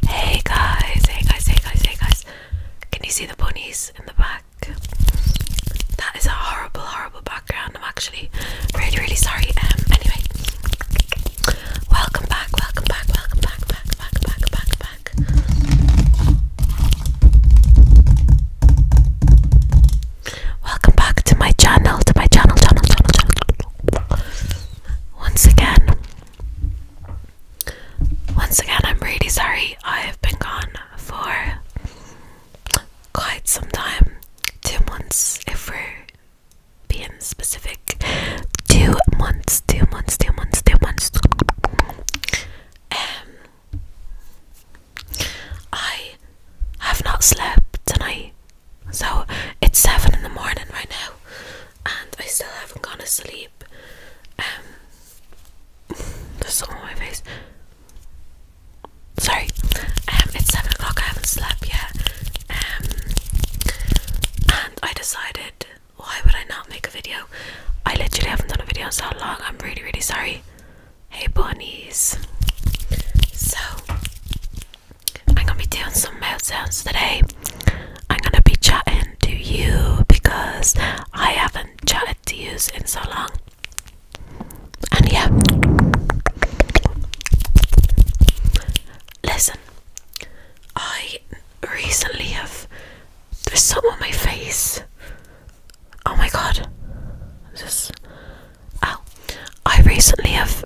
Hey guys, hey guys, hey guys, hey guys. Can you see the ponies in the back? That is a horrible, horrible background. I'm actually really, really sorry. Um anyway. Welcome back, welcome back, welcome back, back, back, back, back, back. Welcome back to my channel, to my channel, channel, channel, channel. Once again, once again, I'm really sorry I have been gone for quite some time two months, if we're being specific. Two months, two months, two months, two months. Um, I have not slept tonight, so it's seven in the morning right now and I still haven't gone to sleep. Um, there's something on my face. Sorry, um, it's seven o'clock. I haven't slept yet, um, and I decided why would I not make a video? I literally haven't done a video in so long. I'm really, really sorry. Hey, bunnies. So, I'm gonna be doing some mouth sounds today. I'm gonna be chatting to you because I haven't chatted to you in so long. And yeah, listen, I recently have. There's some on my face. Oh my god. This. oh, I recently have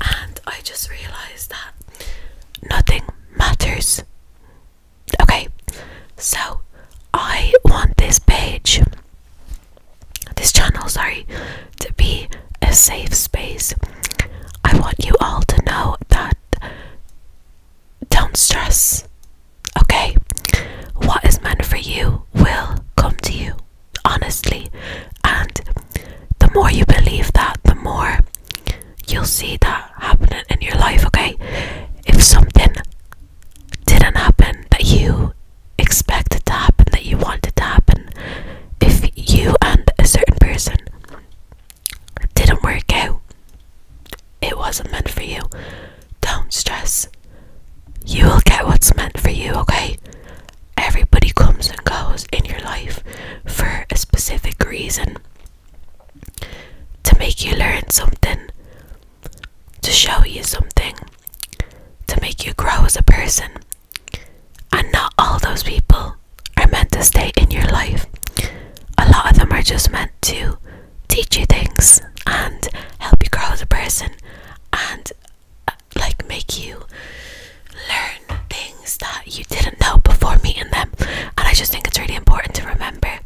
and I just realized that nothing matters. Okay, so I want this page, this channel, sorry, to be a safe space. I want you all to know that don't stress, okay? What is meant for you will come to you honestly. And the more you believe that, the more you'll see that happening in your life, okay? If something didn't happen that you expected to happen, that you wanted to happen, if you and a certain person didn't work out, it wasn't meant for you. Don't stress you will get what's meant for you, okay? Everybody comes and goes in your life for a specific reason to make you learn something, to show you something, to make you grow as a person. And not all those people are meant to stay in your life. A lot of them are just meant to teach you things and help you grow as a person and like make you learn things that you didn't know before meeting them. And I just think it's really important to remember,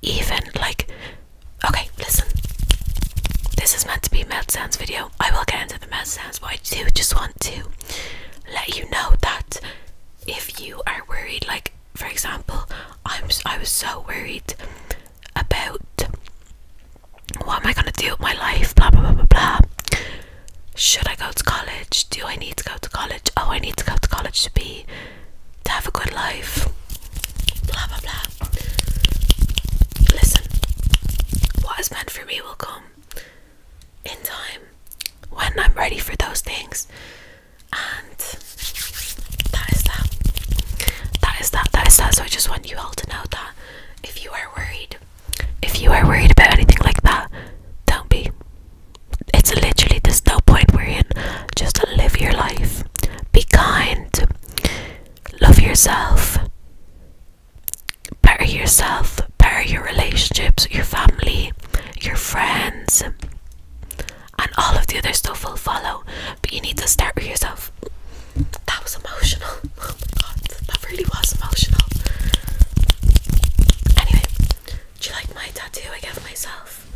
even like, okay, listen, this is meant to be mouth sounds video. I will get into the mouth sounds, but I do just want to let you know that if you are worried, like for example, I'm I was so worried about what am I gonna do with my life, blah blah blah blah blah. Should I go to college? Do I need to go to college? Oh, I need to go to college to be to have a good life. Blah blah blah. Listen, what is meant for me will come in time when I'm ready for those things. And that is that. That is that. That is that. So I just you all to know that if you are worried, if you are worried about anything like that, don't be. It's literally there's no point we're in. Just live your life. Be kind. Love yourself. Better yourself. Better your relationships, your family, your friends, and all of the other stuff will follow. But you need to start with yourself that was emotional. Oh my god, that really was emotional. Anyway, do you like my tattoo I gave myself?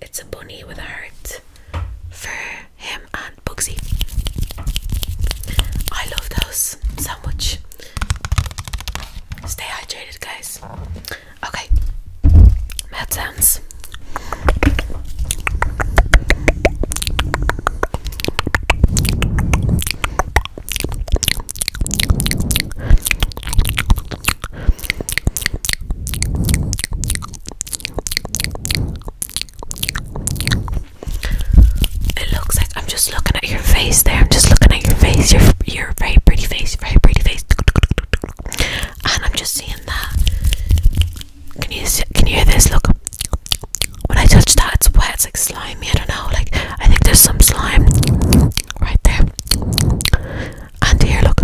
It's a bunny with a heart for him and Bugsy. I love those so Stay hydrated, guys. Okay, mouth sounds. It looks like I'm just looking at your face there. I'm just looking at your face. Your your very pretty face. Very pretty face. And I'm just seeing that can you can you hear this? Look, when I touch that, it's wet. It's like slimy. I don't know. Like I think there's some slime right there. And here, look.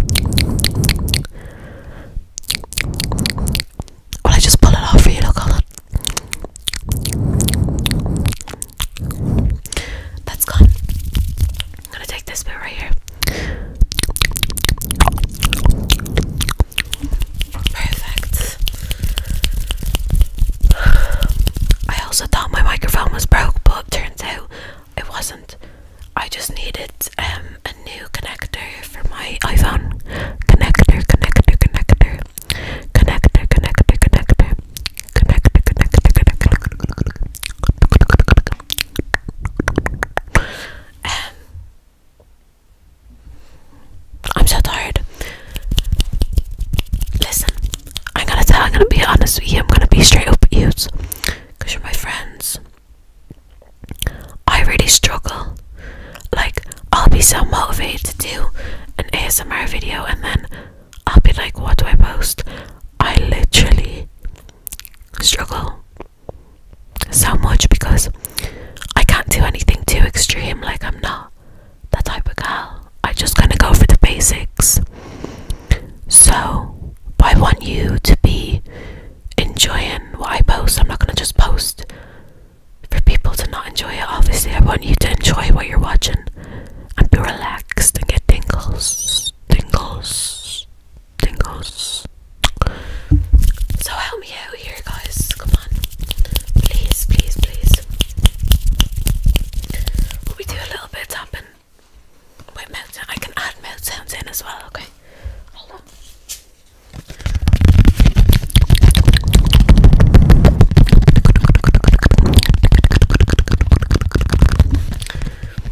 Well, I just pull it off for you. Look, hold on. That's gone. I'm gonna take this bit right here. Perfect. I also thought my microphone was broke, but turns out it wasn't. I just needed um, a new connector for my iPhone. Connector, connector, connector. Connector, connector, connector. Connector, connector, connector. Um, I'm so tired. Listen, I'm gonna tell. I'm gonna be honest with you. I'm gonna be straight up with you, cause you're my friends. I really struggle. Like I'll be so motivated to do an ASMR video, and then I'll be like, "What do I post?" I literally struggle so much because I can't do anything too extreme. Like, I'm not that type of girl. I just gonna go for the basics. So, I want you to be enjoying what I post. I'm not going to just post for people to not enjoy it. Obviously, I want you to enjoy what you're watching and be relaxed and get tingles, tingles, so help me out here, guys. Come on, please, please, please. we do a little bit tapping? Wait, mouth I can add Mel sounds in as well. Okay, hold on.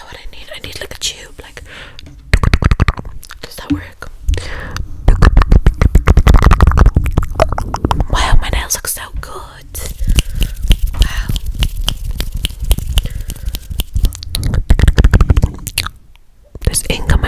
what I need? I need like a tube. Like, does that work? Wow, my nails look so good. Wow. There's ink on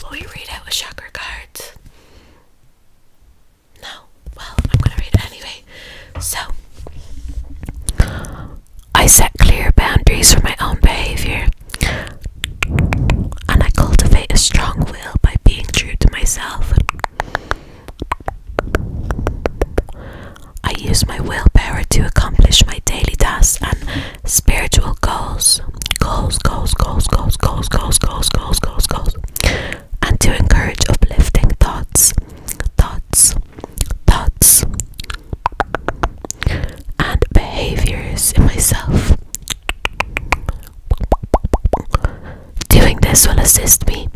Will we read out a shocker card? No. Well, I'm going to read it anyway. So, I set clear boundaries for my own behavior. And I cultivate a strong will by being true to myself. I use my willpower to accomplish my daily tasks and spiritual goals. Goals, goals, goals, goals, goals, goals, goals, goals, goals, goals and to encourage uplifting thoughts, thoughts, thoughts, and behaviors in myself. Doing this will assist me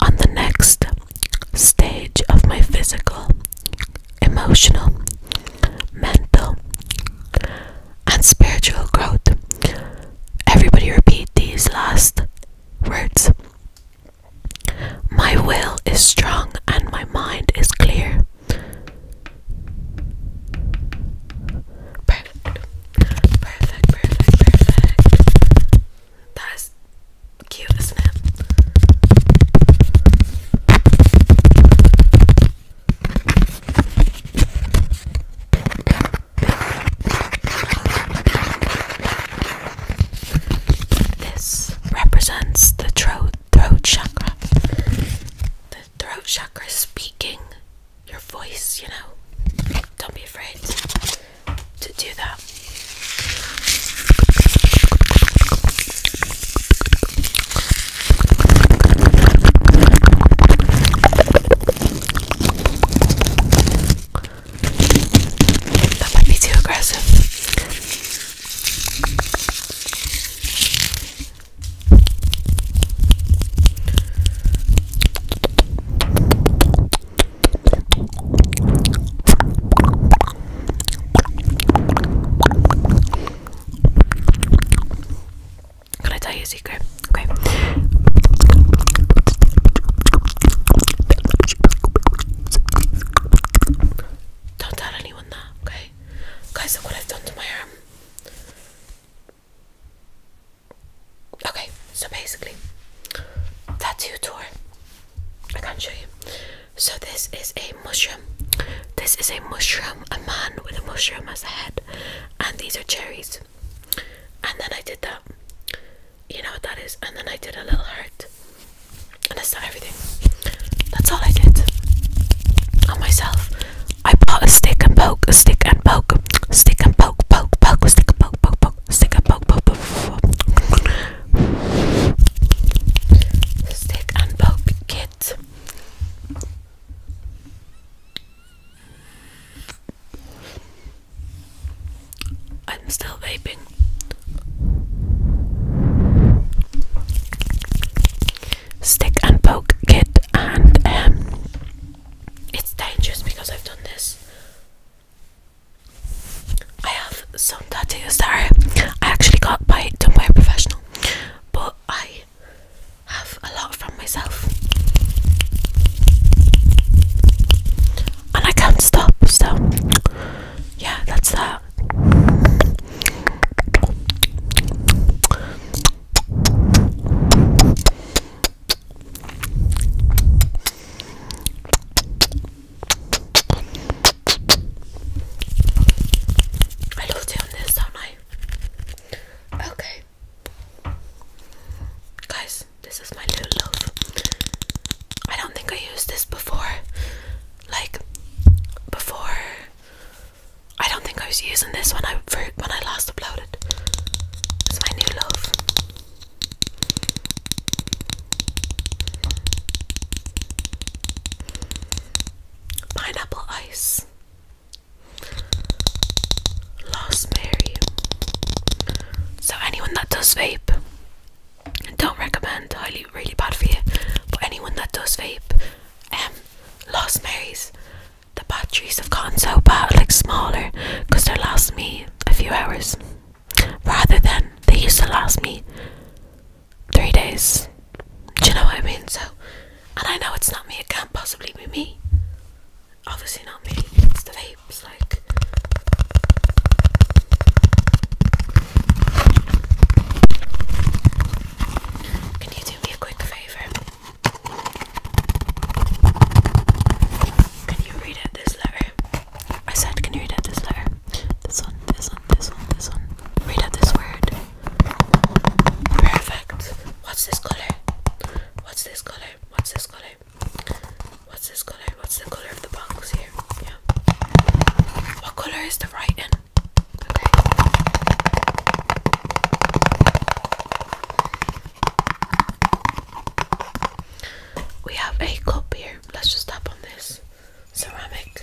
on the next stage of my physical, emotional, mental, and spiritual growth Everybody repeat these last words. My will is strong and my mind is clear. Perfect. Perfect, perfect, perfect. That is cute, isn't it? This represents the throat, chakra. The throat chakra speaking your voice, you know. Don't be afraid to do that. That might be too aggressive. Can I tell you a secret? Okay. Don't tell anyone that, okay? Guys, look what I've done to my arm. Okay, so basically, tattoo tour. I can't show you. So this is a mushroom. This is a mushroom, a man with a mushroom as a head, and these are cherries and then I did that you know what that is and then I did a little hurt, and that's not everything that's all I did on myself I bought a stick and poke a stick and poke stick and poke poke poke stick and poke poke poke stick and poke poke poke, stick and poke kit I'm still vaping. Stick and poke kit, and um, it's dangerous because I've done this. I have some tattoos that I actually got by done by a professional, but I have a lot from myself. And I can't stop, so yeah, that's that. I love doing this, don't I? Okay. Guys, this is my new loaf. I don't think I used this before. Like before I don't think I was using this when I when I last uploaded. It's my new loaf. Pineapple ice. Lost Mary. So anyone that does vape, don't recommend. Highly, really bad for you. But anyone that does vape, um, Lost Marys. The batteries have gotten so bad, like smaller, because they last me a few hours, rather than they used to last me three days. Do you know what I mean? So and I know it's not me, it can't possibly be me. Obviously, not me, it's the vapes. Like, can you do me a quick favor? Can you read out this letter? I said, can you read out this letter? This one, this one, this one, this one. Read out this word. Perfect. What's this color? What's this color? What's this color? What's this color? What's the color of the bangles here? Yeah. What color is the writing? Okay. We have a cup here. Let's just tap on this ceramic.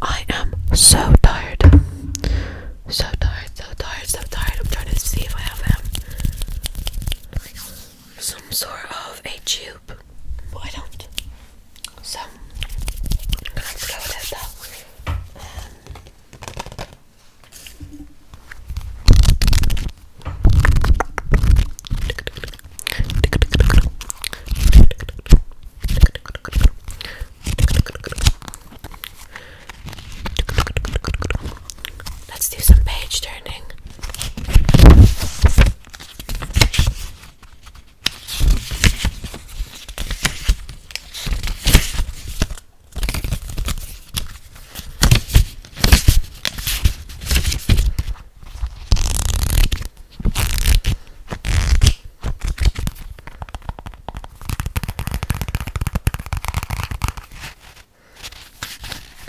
I am so tired. So tired, so tired, so tired. I'm trying to see if I have um, some sort of a tube, but I don't. So, I'm gonna have to go without Let's do some page turning.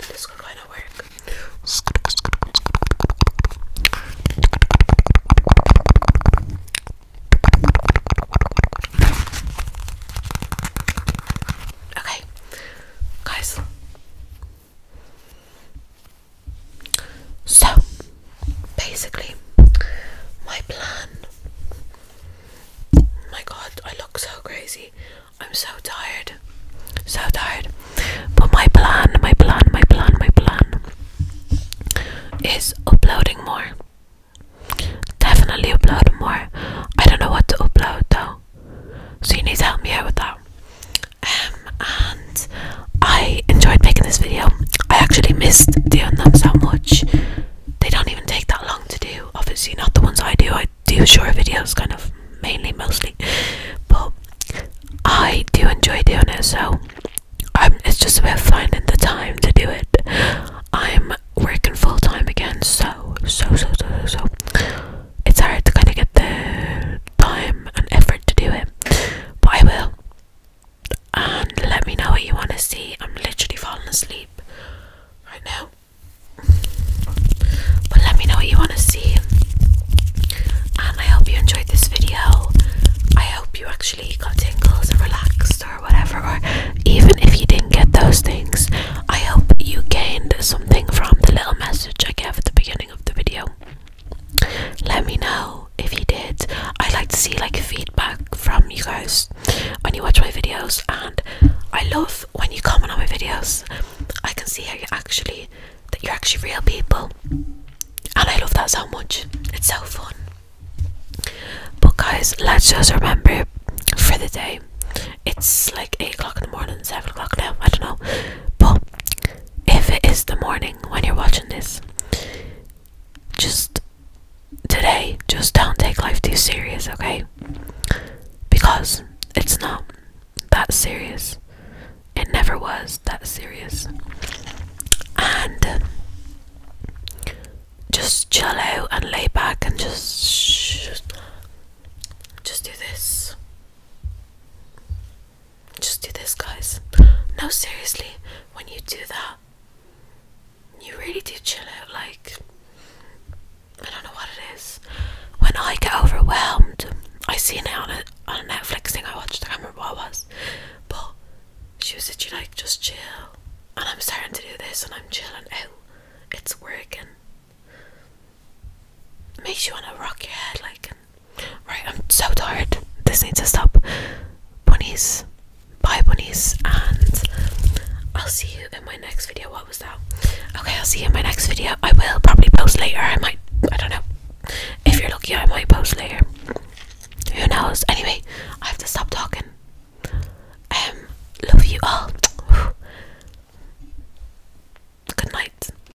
This will kind of work. Okay, guys. So, basically, my plan. My god, I look so crazy. I'm so tired. So tired. But my plan, my plan, my plan, my plan is uploading more. Definitely uploading more. I don't know what to upload though. So you need to help me out with that um, and I enjoyed making this video. I actually missed doing them so much. They don't even take that long to do. Obviously, not the ones I do. I do short videos, kind of mainly, mostly, but I do enjoy doing it. So um, it's just about finding the time to do it. I'm working full time again, so so so so so. so. It's hard to kind of get the time and effort to do it, but I will. And let me know what you want to see. I'm literally falling asleep right now. But let me know what you want to see. And I hope you enjoyed this video. I hope you actually got tingles or relaxed or whatever. Or even if you didn't get those things, I hope you gained something from the little message I gave at the beginning of the video. Let me know if you did. I would like to see like feedback from you guys when you watch my videos, and I love when you comment on my videos. I can see how you actually that you're actually real people, and I love that so much. It's so fun. But guys, let's just remember for the day. It's like eight o'clock in the morning, seven o'clock now. I don't know, but if it is the morning when you're watching this, just today, just don't take life too serious, okay? Because it's not that serious. It never was that serious. And just chill out and lay back and just just do this. Just do this, guys. No, seriously, when you do that, you really do chill out. Like, I don't know what it is. When I get overwhelmed, I seen it on a, on a Netflix thing I watched, I can't remember what it was. But she was literally like, just chill. And I'm starting to do this and I'm chilling out. It's working makes you wanna rock your head like right I'm so tired this needs to stop bunnies bye bunnies and I'll see you in my next video what was that okay I'll see you in my next video I will probably post later I might I don't know if you're lucky I might post later who knows anyway I have to stop talking um love you all good night